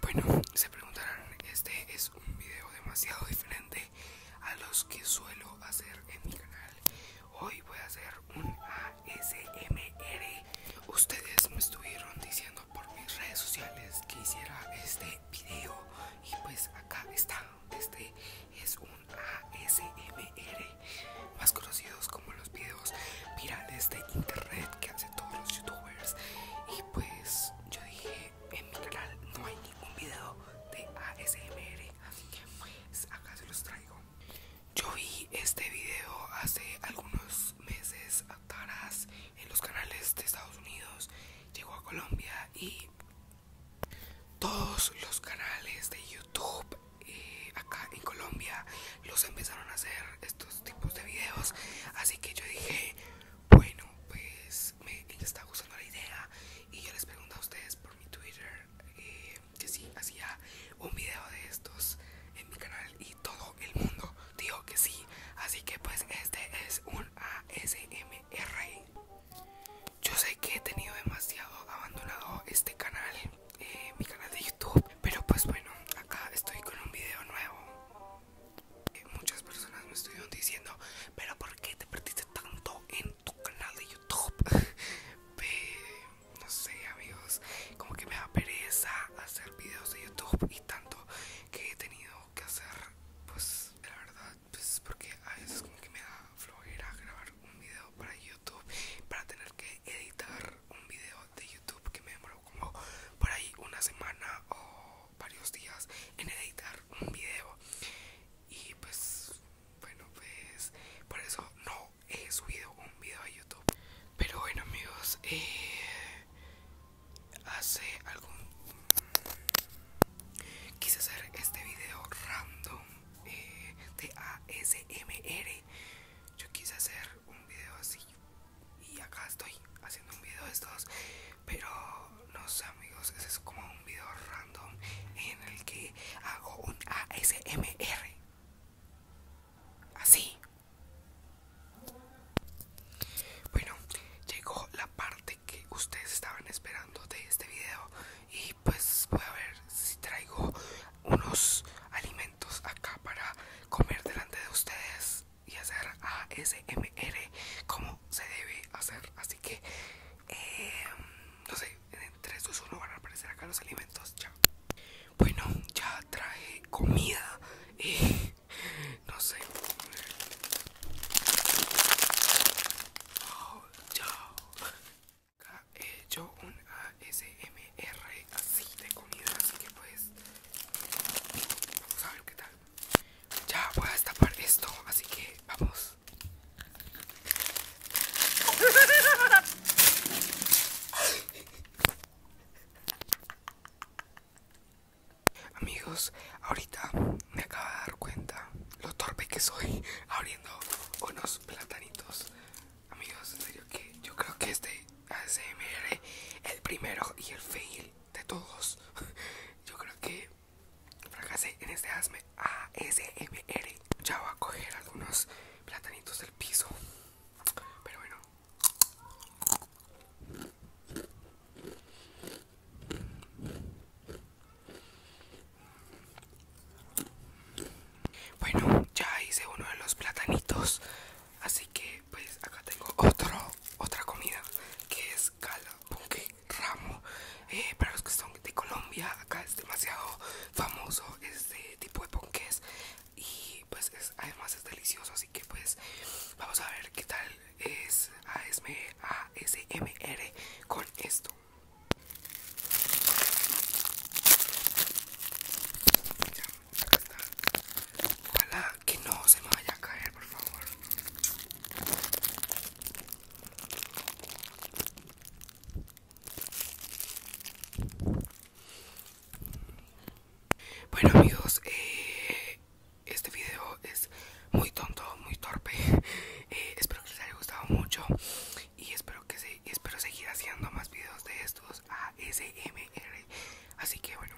Bueno, se preguntarán, este es un video demasiado diferente a los que suelo hacer en mi canal. Hoy voy a hacer un ASMR. Ustedes me estuvieron diciendo por mis redes sociales que hiciera este video y pues acá está. Este es un ASMR más conocidos como los videos virales de internet que hacen todos los youtubers. Y pues yo dije, en mi canal no hay ningún video de ASMR, así que pues acá se los traigo. Yo vi este video hace algunos meses atrás en los canales de Estados Unidos, llegó a Colombia y todos los canales de YouTube eh, acá en Colombia los empezaron a hacer estos tipos de videos así que yo dije bueno pues me está gustando la idea y yo les pregunté a ustedes por mi Twitter eh, que si hacía un video de estos en mi canal y todo el mundo dijo que sí así que pues este es un ASMR yo sé que he tenido demasiado abandonado este canal eh, mi canal de YouTube. Pero pues bueno, acá estoy con un video nuevo. muchas personas me estuvieron diciendo, pero ¿por qué te perdiste tanto en tu canal de YouTube? no sé amigos, como que me da pereza hacer videos de YouTube y tanto que he tenido que hacer, pues la verdad, pues porque a veces como que me da flojera grabar un video para YouTube para tener que editar un video de YouTube que me demoró como por ahí una semana o varios días en editar un video y pues bueno pues por eso no he subido un video a YouTube pero bueno amigos eh, hace algún quise hacer este video random de eh, ASMR. Yo quise hacer un video así y acá estoy haciendo un video de estos, pero no sé amigos, ese es como un video random en el que hago un ASMR. Así. Bueno, llegó la parte que ustedes estaban esperando de este video y pues voy a ver si traigo unos alimentos acá para comer delante de ustedes y hacer ASMR como se debe hacer así que em, no sé en 3 2 1 van a aparecer acá los alimentos ya bueno ya traje comida y no sé oh, yo Acá he hecho un ASMR así de comida, así que pues vamos a ver qué tal. Ya voy a destapar esto, así que vamos. Amigos, ahorita me acaba de dar cuenta lo torpe que soy abriendo unos platanitos. Amigos, en serio que yo creo que este ASMR, el primero y el fail de todos, yo creo que fracasé en este ASMR. Ya voy a coger algunos platanitos del piso. Pero bueno. Bueno, ya hice uno de los platanitos, así que pues acá tengo otro, otra comida que es ponque, ramo. Eh, para los que son de Colombia, acá es demasiado famoso este tipo de ponques y pues además es delicioso, así que pues vamos a ver qué tal es ASMR con esto. está. Ojalá que no se me vaya a caer, por favor. Bueno amigos, eh, este video es muy tonto, muy torpe. Eh, espero que les haya gustado mucho y espero que espero seguir haciendo más videos de estos ASMR. Así que bueno,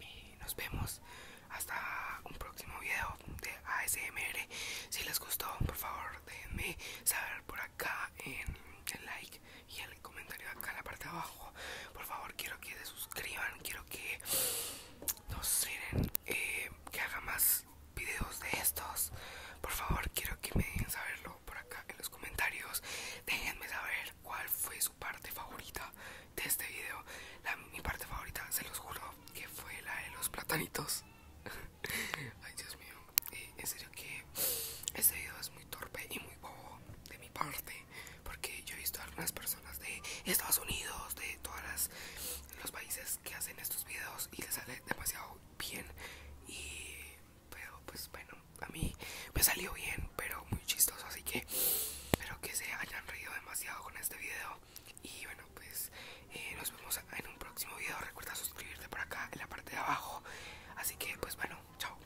eh, nos vemos hasta un próximo video de ASMR. Si les gustó, por favor, déjenme saber por acá en el like y en el comentario acá en la parte de abajo. Por favor, quiero que se suscriban, quiero que no se, eh, que haga más videos de estos por favor quiero que me dejen saberlo por acá en los comentarios déjenme saber cuál fue su parte favorita de este video mi parte favorita se los juro que fue la de los platanitos ay dios mío eh, serio que este video es muy torpe y muy bobo de mi parte porque yo he visto a algunas personas de Estados Unidos, de todos los países que hacen estos videos y les sale demasiado bien. Y, pero pues bueno, a mí me salió bien, pero muy chistoso, así que espero que se hayan reído demasiado con este video. Y bueno, pues eh, nos vemos en un próximo video. Recuerda suscribirte por acá en la parte de abajo. Así que pues bueno, chao.